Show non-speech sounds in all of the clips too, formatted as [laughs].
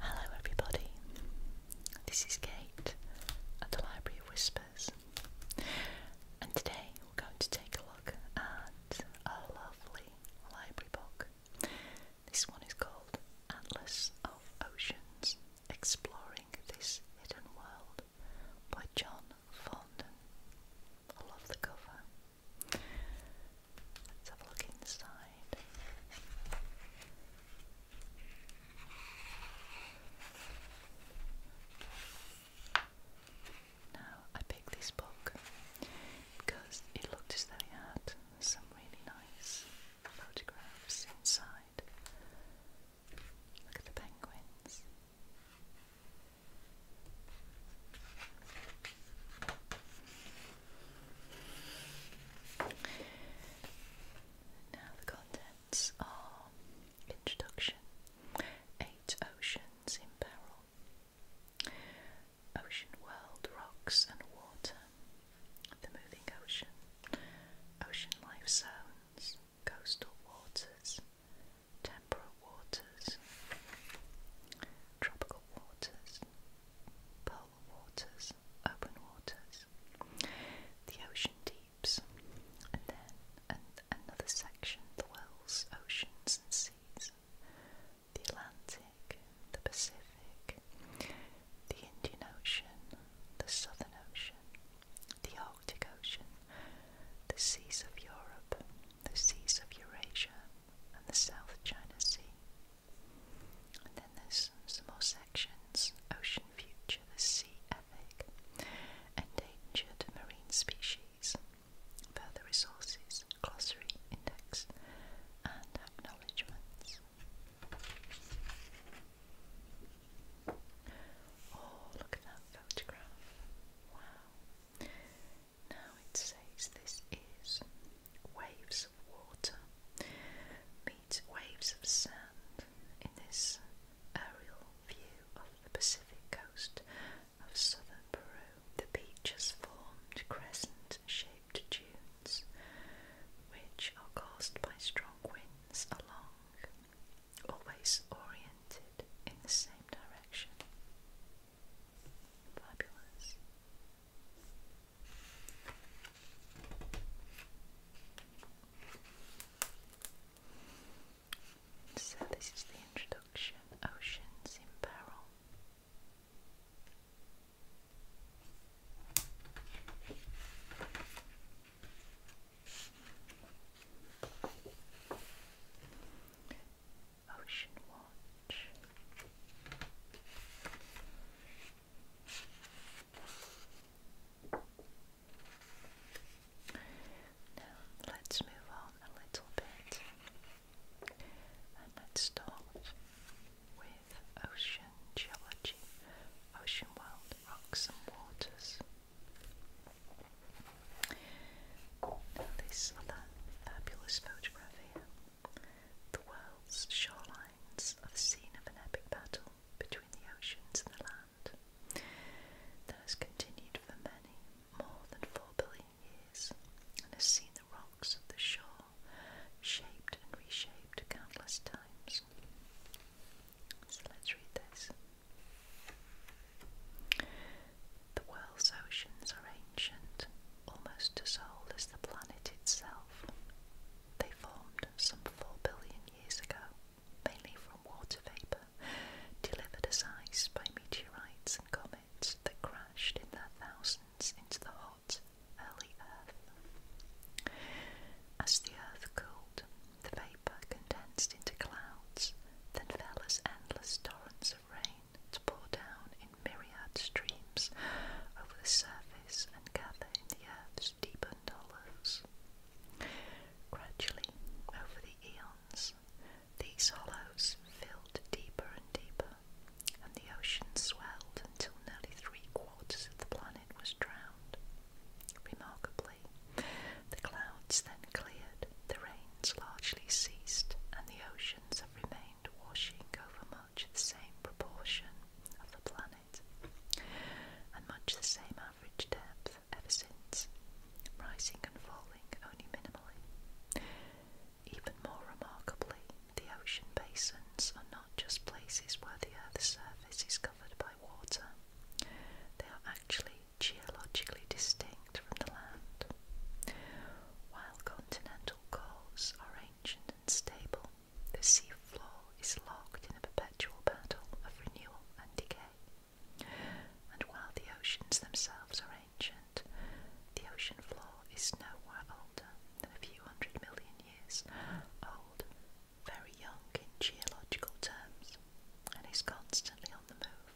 Hello, everybody. This is Kate at the Library Whispers, and today we're going to take a look at a lovely library book. This one is called Atlas of Oceans Exploring This Hidden World by John Fondon. I love the cover. Let's have a look inside. Now, I picked this book because it looked as though it had some really nice photographs inside. Look at the penguins. Now, the contents are introduction, eight oceans in peril, ocean world, rocks and water, the moving ocean, ocean life zones, coastal waters, temperate waters, tropical waters. Pole shallow waters, open waters, the ocean deeps, and then another section, the wells, oceans and seas, the Atlantic, the Pacific, the Indian Ocean, the Southern Ocean, the Arctic Ocean, the seas of Europe, the seas of Eurasia, and the South China Sea. And then there's some more sections Ocean Future, the Sea Epic, Endangered Marine Species, Further Resources, Glossary, Index, and Acknowledgements. Oh, look at that photograph. Wow. Now it says this is waves of water meet waves of sand in this aerial view of the Pacific coast of southern Peru. The beaches formed crescent-shaped dunes which are caused by strong winds along, always oriented in the same direction. Fabulous. So, this is the introduction Oceans in Peril. Ocean Watch. Now let's move on a little bit and let's start with ocean geology, ocean world, rocks and waters. this other fabulous photograph here the world's shorelines are the scene of an epic battle between the oceans and the land that has continued for many, more than four billion years, and has seen the rocks of the shore shaped and reshaped countless times. So let's read this. The world's oceans are ancient, almost as old as the planet itself. They formed some 4 billion years ago, mainly from water vapour delivered as ice by meteorites and comets that crashed in their thousands into the hot, early Earth. As the Earth cooled, the vapour condensed into clouds, then fell as endless torrents rain to pour down in myriad streams over the surface and gather in the earth's deepened hollows. Gradually, over the eons, these hollows filled deeper and deeper, and the ocean swelled until nearly three quarters of the planet was drowned. Remarkably, the clouds then cleared, the rains largely ceased, and the oceans have remained washing over much much the same proportion of the planet and much the same average depth ever since, rising and falling only minimally. Even more remarkably, the ocean basins are not just places where the Earth's surface is covered by water, they are actually geologically distinct from the land. While continental the coasts are ancient and stable. The seafloor is locked in a perpetual battle of renewal and decay. And while the oceans themselves are ancient, the ocean floor is nowhere older than a few hundred million years old, very young in geological terms, and is constantly on the move,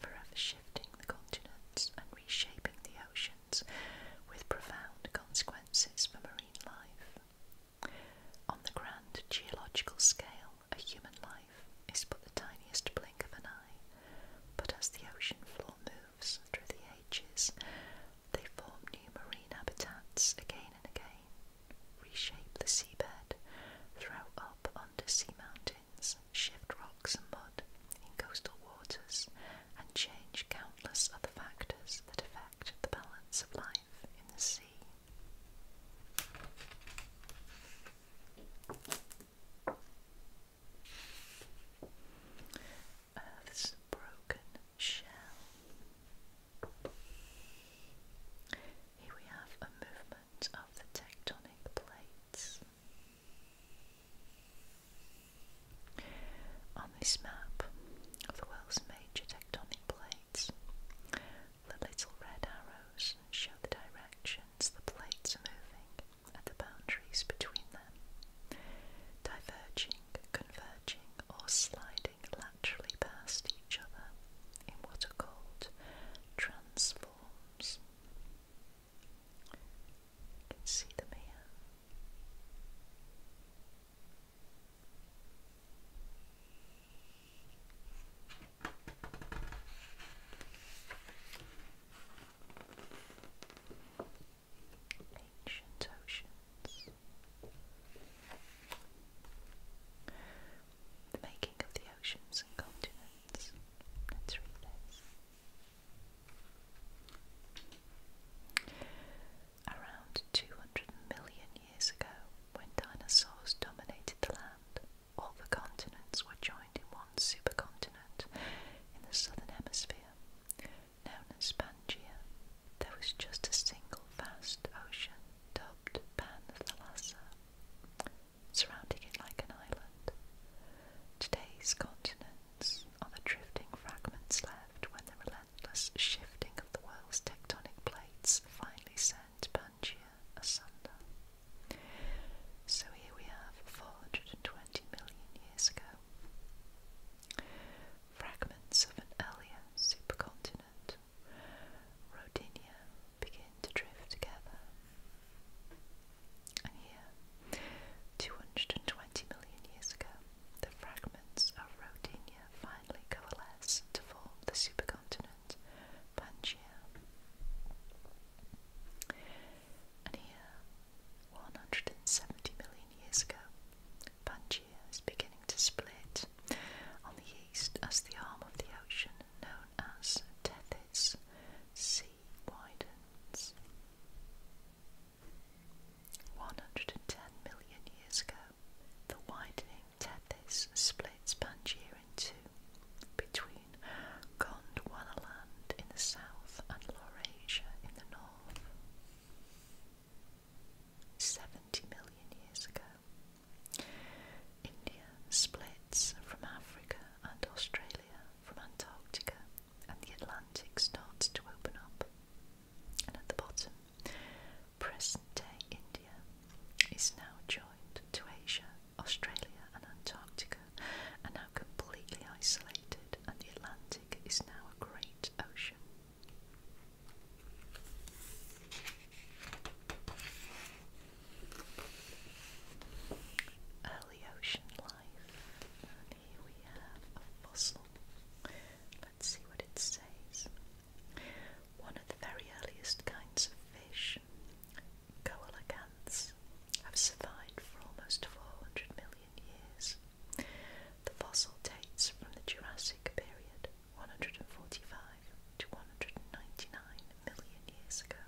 forever shifting the continents and reshaping the ocean with profound consequences for marine life. On the grand geological scale, a human life is but the tiniest blink of an eye, but as the ocean floor moves through the ages, they form new marine habitats again and again, reshape the seabed, throw up undersea mountains dolphins shift rocks and mud in coastal waters and change countless other factors that affect the balance of life in the sea. Earth's broken shell. Here we have a movement of the tectonic plates. On this map of the world's major tectonic plates, the little red arrows show the directions the plates are moving at the boundaries between them, diverging, converging, or sliding laterally past each other in what are called transforms. You can see the man. Ancient oceans. The making of the oceans and continents. Let's read this. Around 200 million years ago, when dinosaurs dominated the land, all the continents were joined in one supercontinent in the southern hemisphere, known as Pangaea. There was just a single vast ocean dubbed Pan-Thalassa, surrounding it like an island. Today's continent continents the drifting fragments left when the relentless shifting of the world's tectonic plates finally sent Pangaea asunder. So here we have 420 million years ago. Fragments of an earlier supercontinent, Rodinia, begin to drift together, and here, 220 million years ago, the fragments of Rodinia finally coalesce to form the supercontinent Pangaea. And here, 170 million years ago, Pangaea is beginning to split on the east as the arm of the ocean known as Tethys sea widens. 110 million years ago, the widening Tethys splits Pangaea in two between Gondwanaland in the south and Laurasia in the north. 70 million years ago, India splits from Africa and Australia from Antarctica and the Atlantic starts to open up. And at the bottom, present day India is now joined to Asia, Australia, and Antarctica, and now completely isolated, and the Atlantic is now a great ocean. Early ocean here we have a fossil. Let's see what it says. One of the very earliest kinds of fish, coelacanths, have survived for almost 400 million years. The fossil dates from the Jurassic period, 145 to 199 million years ago.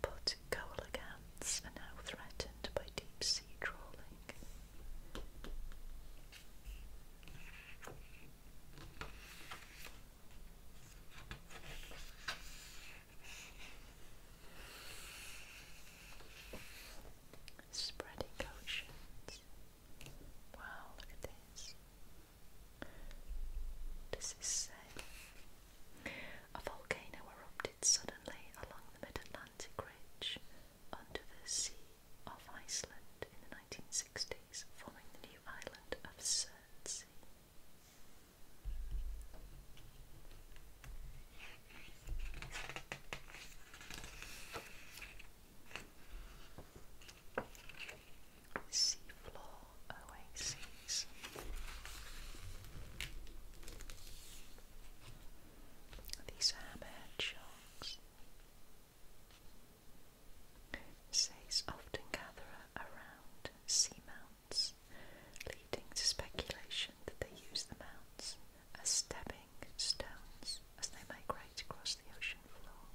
But cowlick ants are now threatened by deep sea trawling. Spreading oceans. Wow, look at this. this say a volcano erupted suddenly along the mid Atlantic ridge under the sea off Iceland in the 1960s, forming the new island of Surtsey. Seafloor oases. These hammerhead sharks. Says often gather around sea mounts, leading to speculation that they use the mounts as stepping stones as they migrate across the ocean floor.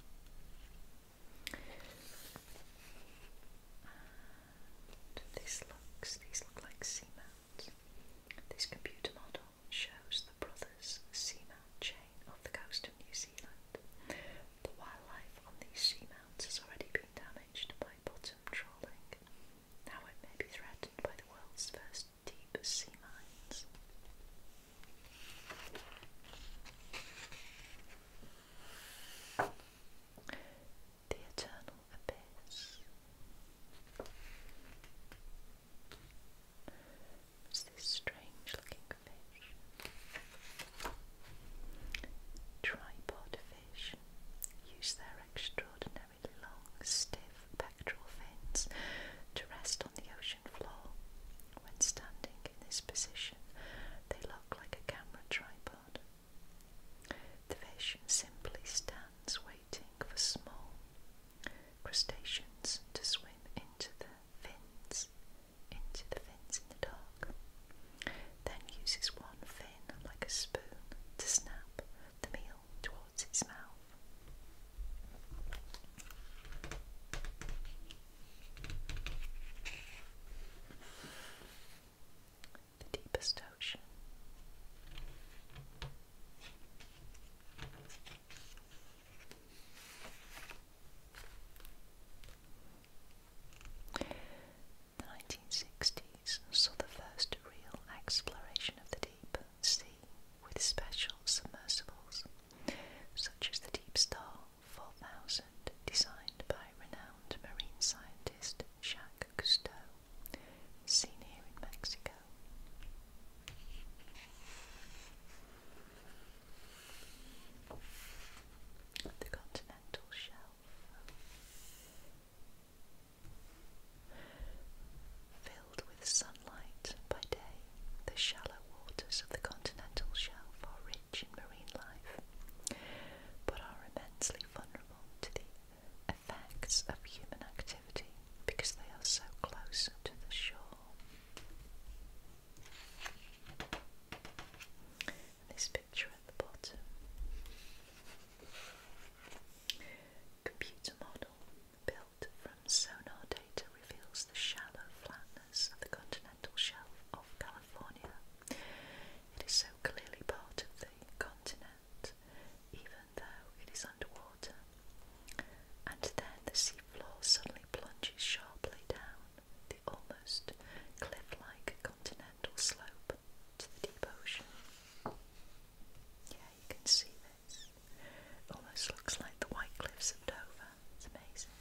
This looks, these look like seamounts. This computer model shows the brothers' seamount chain off the coast of New Zealand. The wildlife on these seamounts has already been damaged by bottom trawling. Now it may be threatened by the world's first deep sea mines the eternal abyss. It's this strange looking fish. Tripod fish use their extraordinarily long, stiff pectoral fins to rest on the ocean floor. When standing in this position, they look like a camera tripod. The fish simply stands waiting for small crustaceans to swim into the fins, into the fins in the dark, then uses one fin like a spoon to snap the meal towards its mouth the deepest ocean. The 1960s saw the first real exploration of the deep sea with special submersibles, such as the Deep Star 4000, designed by renowned marine scientist Jacques Cousteau, seen here in Mexico. The continental shelf. Filled with sunlight by day, the shallow waters of the continental shelf are rich in marine life, but are immensely vulnerable to the effects of human activity because they are so close to the shore. this picture at the bottom. Computer model built from sonar data reveals the shallow flatness of the continental shelf of California. It is so clearly part of the continent, even though it is underwater. And then the seafloor suddenly plunges sharply down the almost cliff like continental slope to the deep ocean. Yeah, you can see this. It almost looks like the white cliffs of Dover. It's amazing.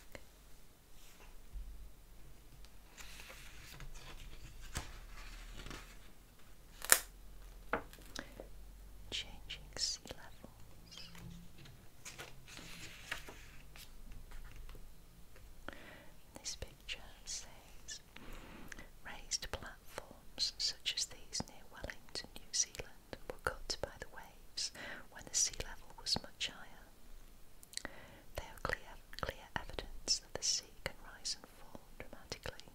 Changing sea levels. This picture says raised platforms such as these near Wellington, New Zealand, were cut by the waves when the sea level was much higher. They are clear, clear evidence that the sea can rise and fall dramatically.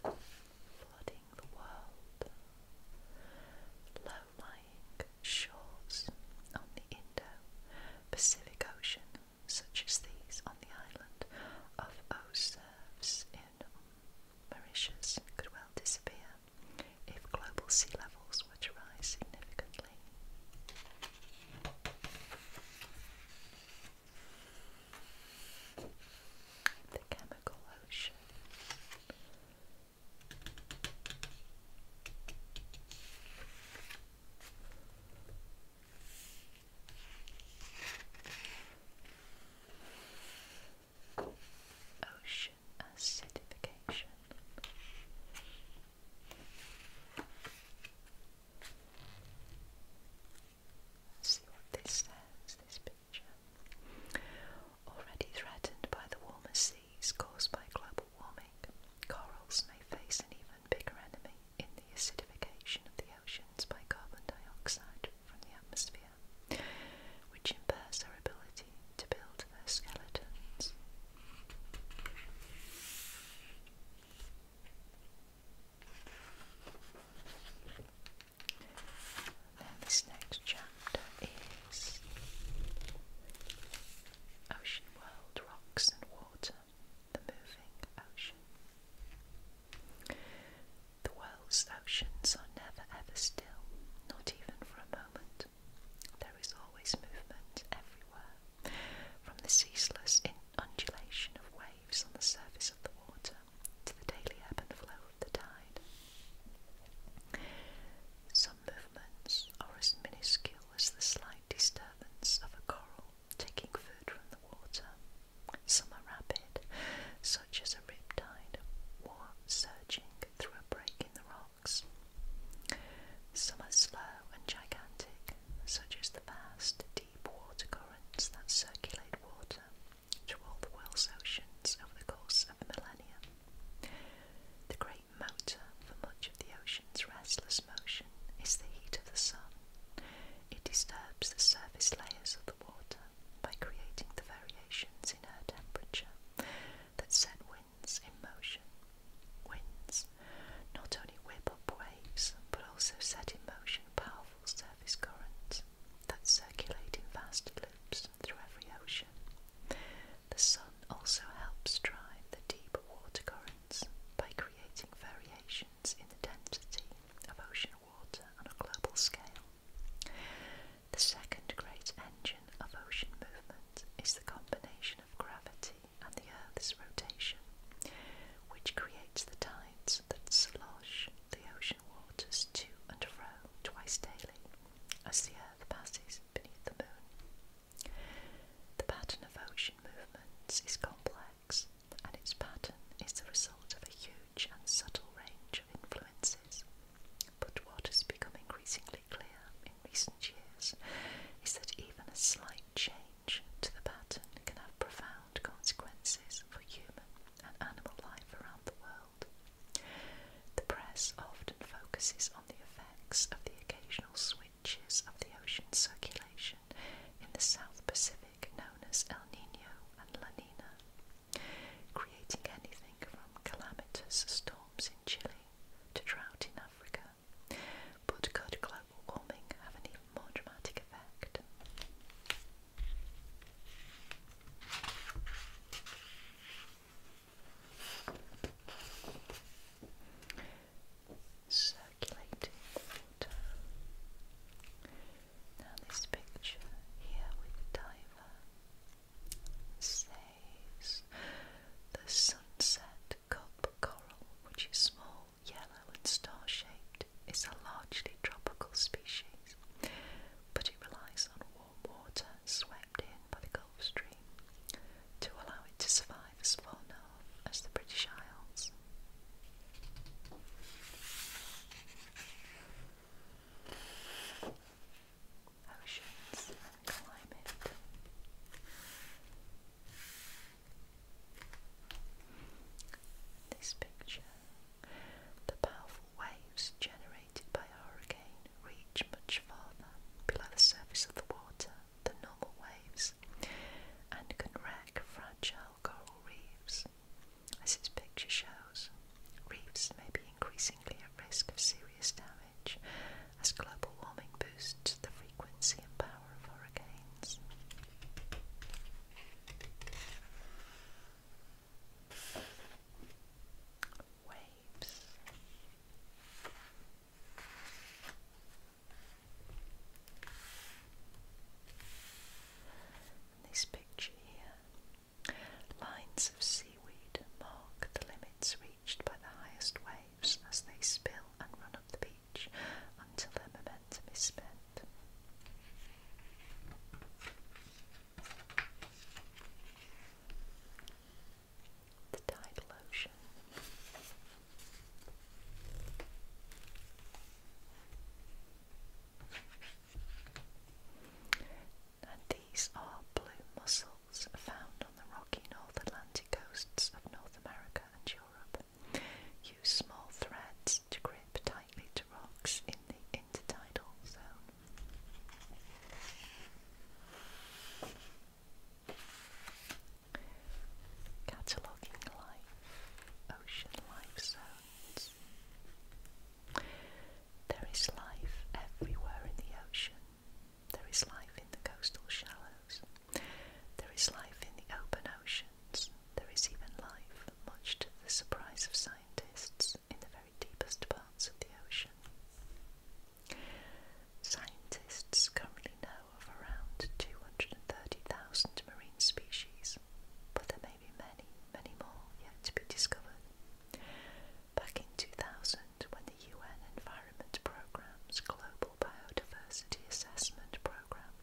Flooding the world. Low-lying shores on the Indo-Pacific Ocean, such as these on the island of Osirves in Mauritius could well disappear if global sea levels were to rise significantly. The chemical ocean. Ocean acidification. see what this says, this picture. Already threatened by the warmer seas caused by global warming, corals may face an even bigger enemy in the acidification of the oceans by carbon dioxide from the atmosphere, which impairs their ability to build their skeletons. Then this next chapter is Ocean World Rocks and Water, the Moving Ocean. The world's oceans are never ever still, not even for a moment. There is always movement everywhere, from the ceaseless undulation of waves on the surface of the water to the daily ebb and flow of the tide. Some movements are as minuscule as the slight disturbance of a coral taking food from the water, some are rapid, such as a riptide, or surging through a break in the rocks. Some are slow and gigantic, such as the vast, deep water currents that circulate water to all the world's oceans over the course of a millennium. The great motor for much of the ocean's restless motion is the heat of the sun. It disturbs the surface layers of the water by creating the variations in air temperature that set winds in motion. Winds not only whip up waves but also set in motion powerful surface currents that circulate in vast loops through every ocean. The sun also helps drive the deeper water currents by creating variations in the density of ocean water on a global scale. The second great engine of ocean movement is the combination of gravity and the Earth's rotation, which creates the tides that slosh the ocean waters to and fro twice daily as the Earth passes beneath the moon. The pattern of ocean movements is complex, and its pattern is the result of a huge huge and subtle range of influences. But what has become increasingly clear in recent years is that even a slight change to the pattern can have profound consequences for human and animal life around the world. The press often focuses on the effects of the occasional switches of the ocean circulation in the South Pacific known as El Nino and La Nina creating anything from calamitous storms in Chile to drought in Africa. But could global warming have an more dramatic effect? Circulating water. Now this picture here with the diver says the sunset cup coral, which is small, yellow and star-shaped, is a largely tropical species, but it relies on warm water swept in by the Gulf Stream to allow it to survive as far north as the British Isles oceans climate. This picture. The powerful waves generated by a hurricane reach much farther below the surface of the water than normal waves and can wreck fragile coral reefs. As his picture shows, reefs may be increasingly at risk of serious damage as global warming boosts the frequency and power of hurricanes. Waves. this picture here Lines of seaweed mark the limits reached by the highest waves as they spill and run up the beach until their momentum is spent. The tidal ocean. And these are blue mussels found on the rocky North Atlantic coasts of North America and Europe. Use small threads to grip tightly to rocks in the intertidal zone. Cataloguing life, ocean life zones. There is life everywhere in the ocean. There is life in the coastal shallows. There is life in the open oceans. There is even life, much to the surprise of scientists, in the very deepest parts of the ocean. Scientists currently know of around 230,000 marine species, but there maybe many, many more yet to be discovered. Back in 2000, when the UN Environment Programme's Global Biodiversity Assessment Programme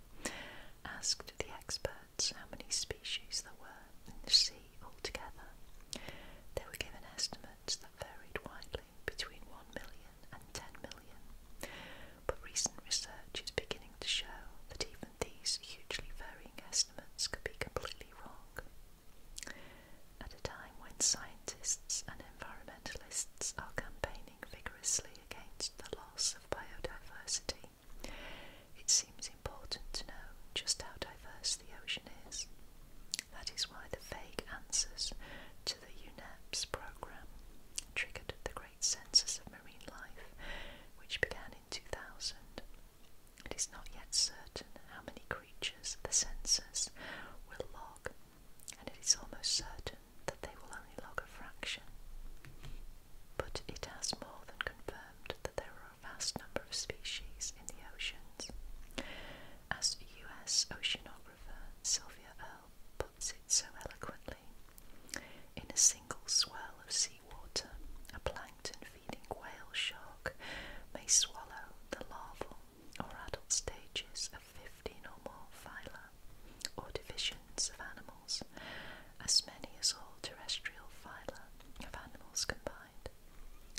asked the experts how many species there were in the sea altogether, they were given estimates that varied widely between 1 million and 10 million. But recent research is beginning to show that even these hugely varying estimates estimates could be completely wrong. At a time when scientists and environmentalists are campaigning vigorously against the loss of biodiversity, it seems important to know just how diverse the ocean is. That is why the vague answers to the UNEP's programme triggered the Great Census of Marine Life, which began in. 2000. It is not yet certain how many creatures the census will log, and it is almost certain that they will only log a fraction. But it has more than confirmed that there are a vast number of species in the oceans. As US oceanographer Sylvia Earle puts it so eloquently, in a single swirl of sea Water, a plankton feeding whale shark may swallow the larval or adult stages of 15 or more phyla or divisions of animals, as many as all terrestrial phyla of animals combined.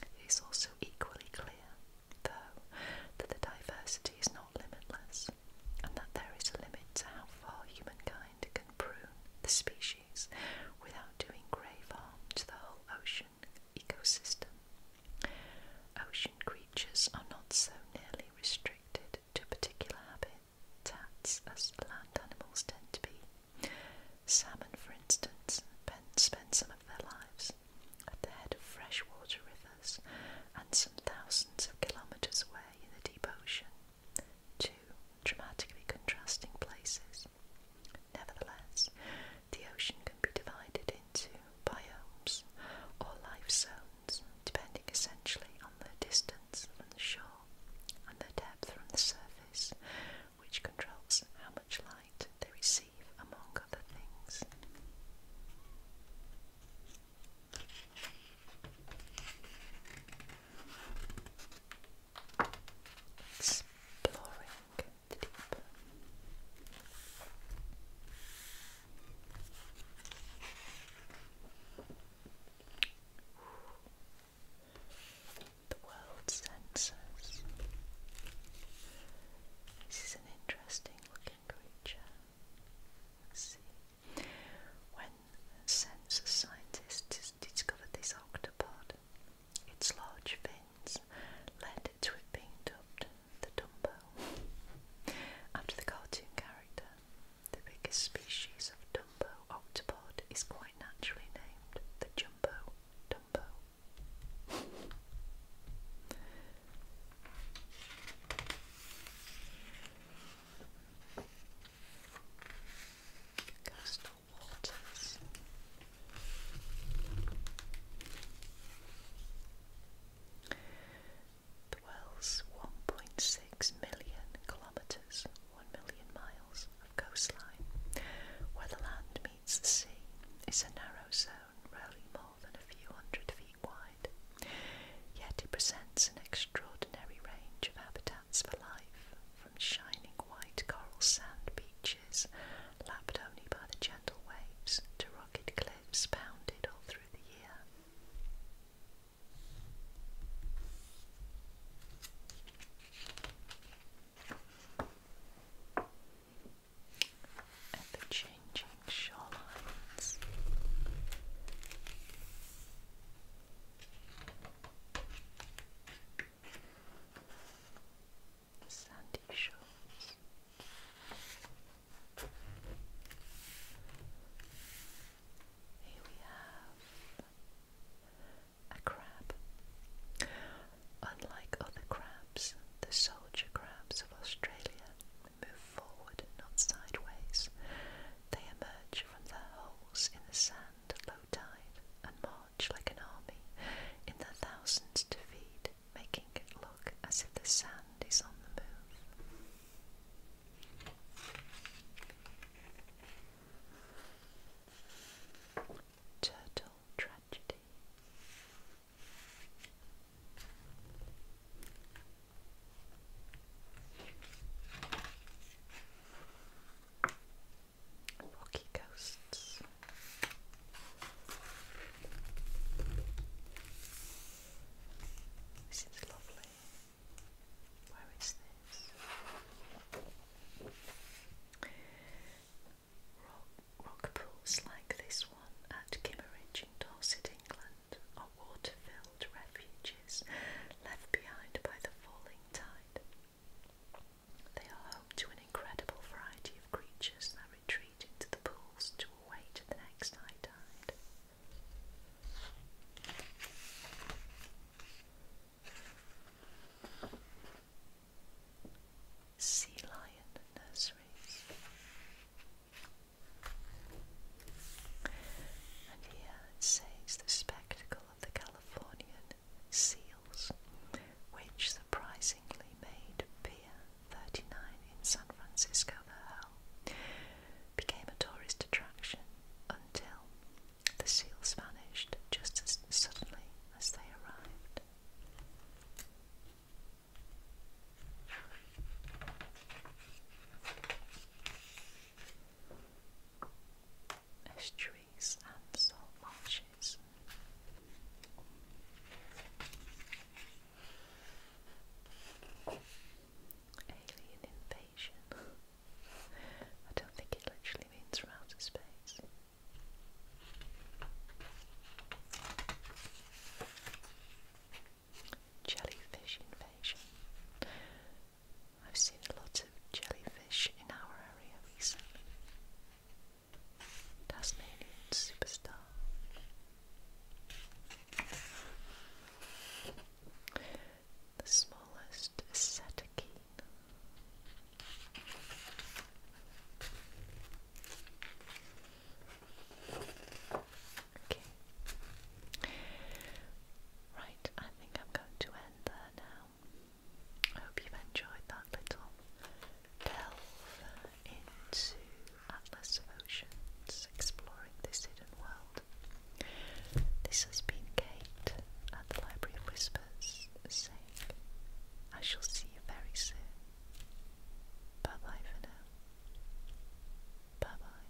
It is also equally clear, though, that the diversity is not limitless and that there is a limit to how far humankind can prune the species without doing grave harm to the whole ocean ecosystem. Ocean creatures are not so nearly restricted to particular habitats as land animals tend to be. Salmon, for instance, spend some of their lives at the head of freshwater rivers and some thousands of kilometres away in the deep ocean two dramatically contrasting places. Nevertheless, the ocean can be divided into biomes or life zones, depending essentially on the distance from the shore and the depth from the surface, which controls how much light they receive, among other things. Exploring the deep. The world senses. This is an interesting looking creature. see. When sensor scientists discovered this octopod. Its large fins led to it being dubbed the Dumbo, after the cartoon character. The biggest species of Dumbo octopod is quite naturally named the Jumbo Dumbo coastal waters. The world's 1.6 million kilometres, 1 million miles of coastline, where the land meets the sea, is a narrow zone, rarely more than a few hundred feet wide. Yet it presents an extraordinary range of habitats for life, from shining white coral sand beaches lapped only by the gentle waves to rugged cliffs bounded all through the year. Ever changing shorelines sandy shores. Here we have a crab. Unlike other crabs, the soldier crabs of Australia move forward, not sideways. They emerge from their holes in the sand at low tide and march like an army in their thousands to feed, making it look as if the sand is on the move. Turtle Tragedy Rocky Coasts. This is lovely. Where is this? Rock, pools like this one at Kimmeridge Dorset, England, are water-filled refuges left behind by the falling tide. They are home to an incredible variety of creatures that retreat into the pools to await the next high tide. Sea Lion Nurseries. And here it says the spectacle the Californian seals, which surprisingly made Pier 39 in San Francisco the hell, became a tourist attraction until the seals vanished just as suddenly as they arrived estuaries and salt marshes. Alien invasion. [laughs] I don't think it literally means from outer space. Jellyfish invasion. I've seen a lot of jellyfish in our area recently. Tasmanian superstar. The smallest is Cetacine. Okay, Right, I think I'm going to end there now. I hope you've enjoyed that little delve into Atlas of Oceans, exploring this hidden world. This has been Kate at the Library of Whispers saying, I shall see you very soon. Bye bye for now. Bye bye.